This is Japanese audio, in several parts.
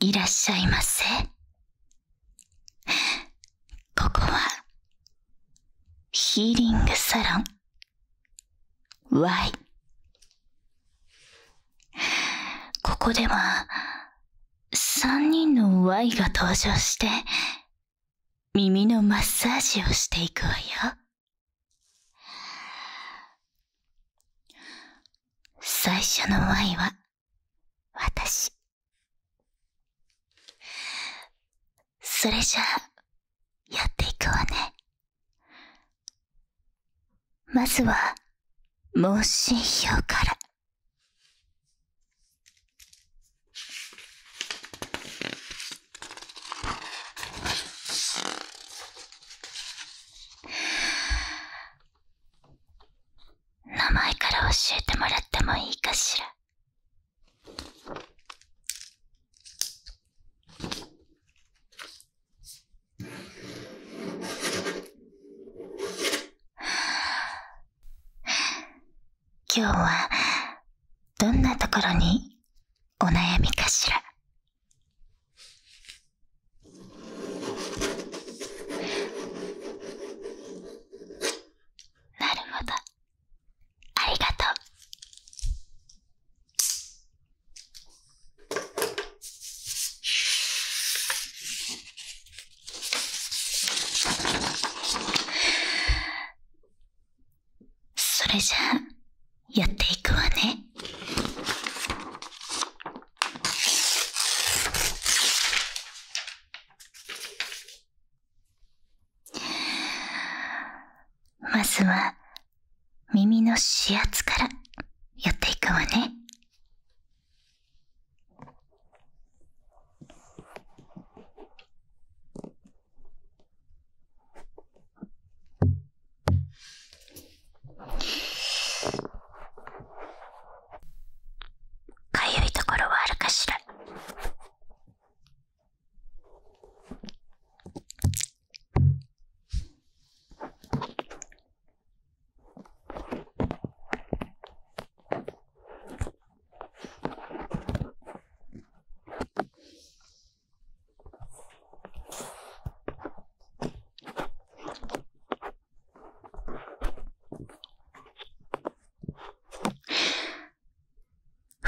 いらっしゃいませ。ここは、ヒーリングサロン。Y。ここでは、3人の Y が登場して、耳のマッサージをしていくわよ。は最初のワイは私それじゃあやっていくわねまずは問診票から名前から教えてもらってもいいかしら今日はどんなところにお悩みかしらなるほどありがとうそれじゃあ、やっていくわね。まずは、耳の指圧からやっていくわね。かゆいところはあるかしら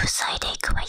塞いでいくわよ。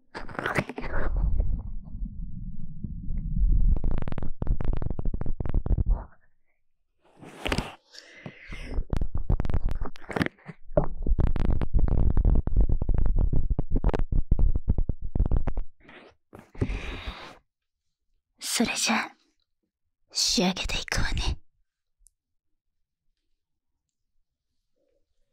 それじゃあ、仕上げていくわね。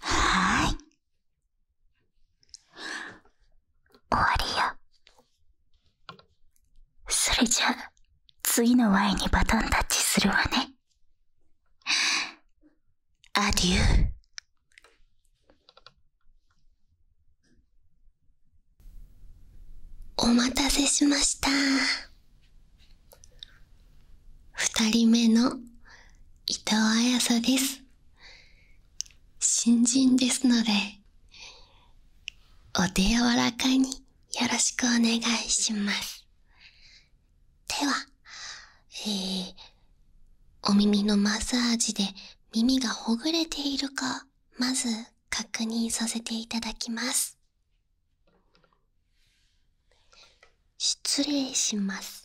はーい。終わりよ。それじゃあ、次のワ Y にバトンタッチするわね。アデュー。お待たせしました。二人目の伊藤綾沙です。新人ですので、お手柔らかによろしくお願いします。では、えー、お耳のマッサージで耳がほぐれているか、まず確認させていただきます。失礼します。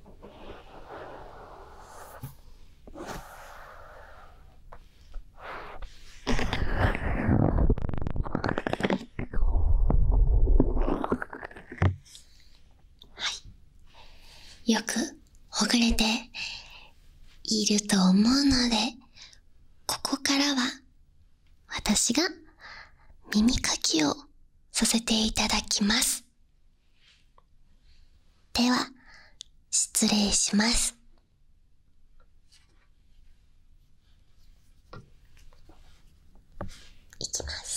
はい。よくほぐれていると思うので、ここからは私が耳かきをさせていただきます。では失礼しますいきます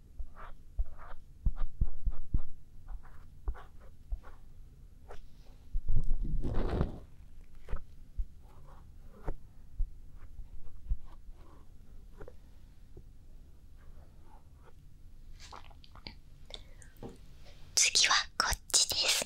次はこっちです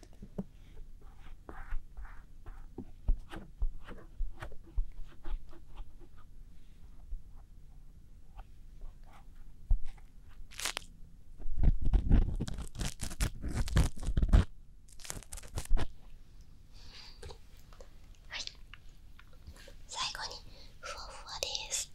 はい最後にふわふわです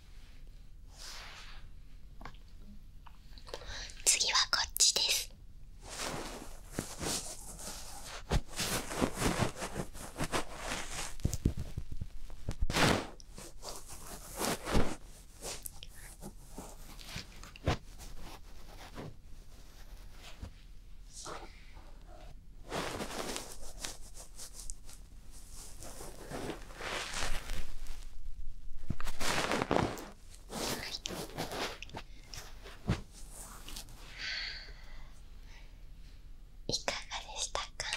次はこっちですいかがでしたか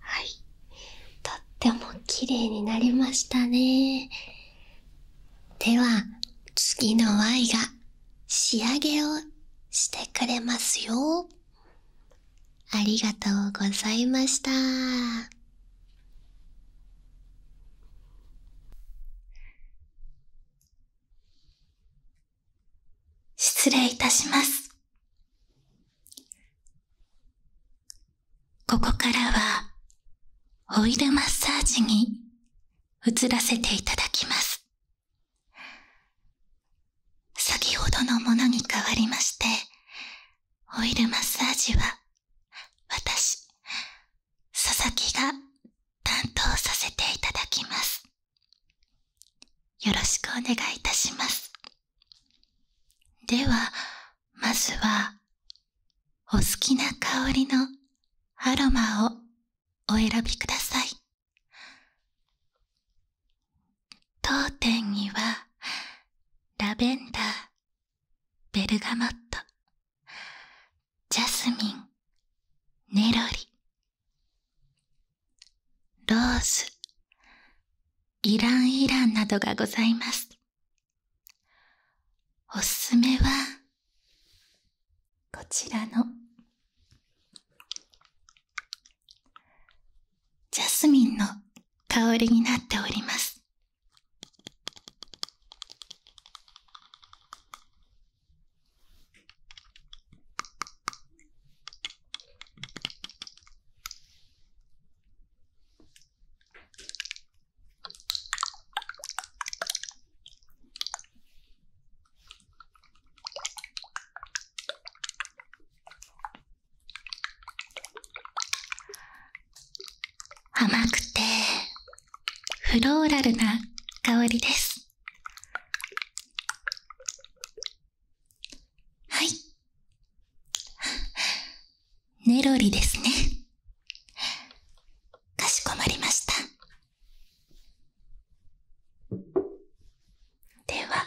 はいとっても綺麗になりましたねでは次の Y が仕上げをしてくれますよありがとうございました失礼いたしますここからは、オイルマッサージに移らせていただきます。先ほどのものに変わりまして、オイルマッサージは、私、佐々木が担当させていただきます。よろしくお願いいたします。では、まずは、お好きな香りのアロマをお選びください。当店には、ラベンダー、ベルガモット、ジャスミン、ネロリ、ローズ、イランイランなどがございます。おすすめは、こちらの、ジャスミンの香りになっております。甘くてフローラルな香りですはい。ネロリですね。かしこまりました。では。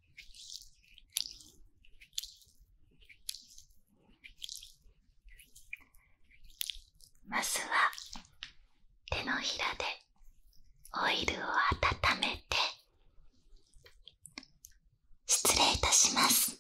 まずは手のひらでオイルを温めて失礼いたします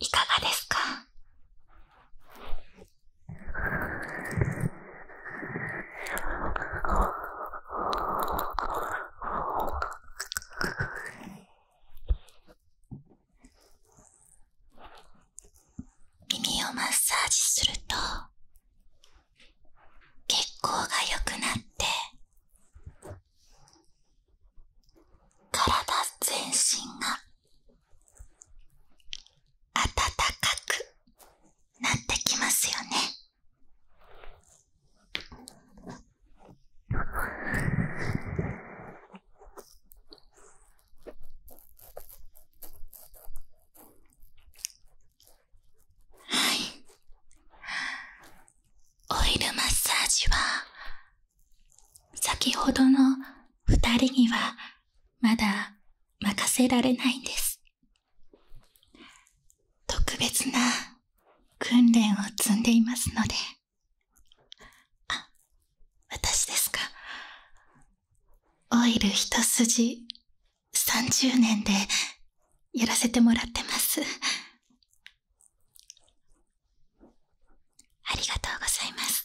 いかがですか耳をマッサージすると血行が良くなって体全身が暖かくなってきますよねはいオイルマッサージは先ほどの2人にはまだ任せられないんです特別な訓練を積んでいますので。あ、私ですか。オイル一筋30年でやらせてもらってます。ありがとうございます。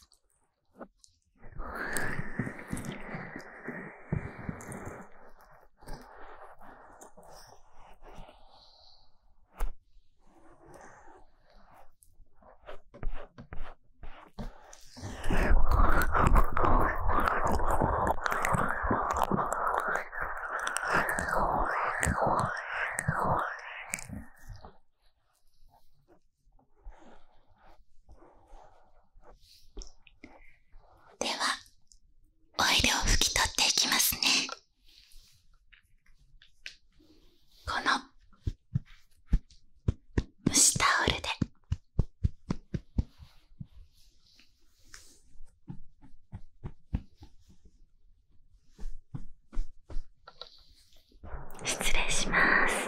ではオイルを拭き取っていきますねこの蒸しタオルで失礼します。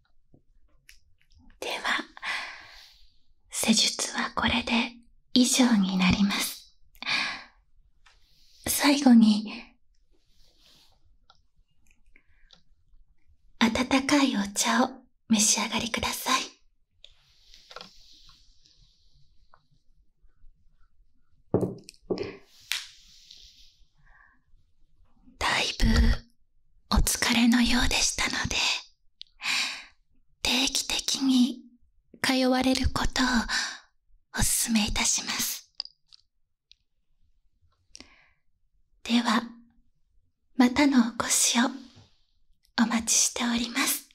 では、施術はこれで以上になります。最後に、温かいお茶を召し上がりください。だいぶお疲れのようでしたので定期的に通われることをお勧めいたしますではまたのお越しをお待ちしております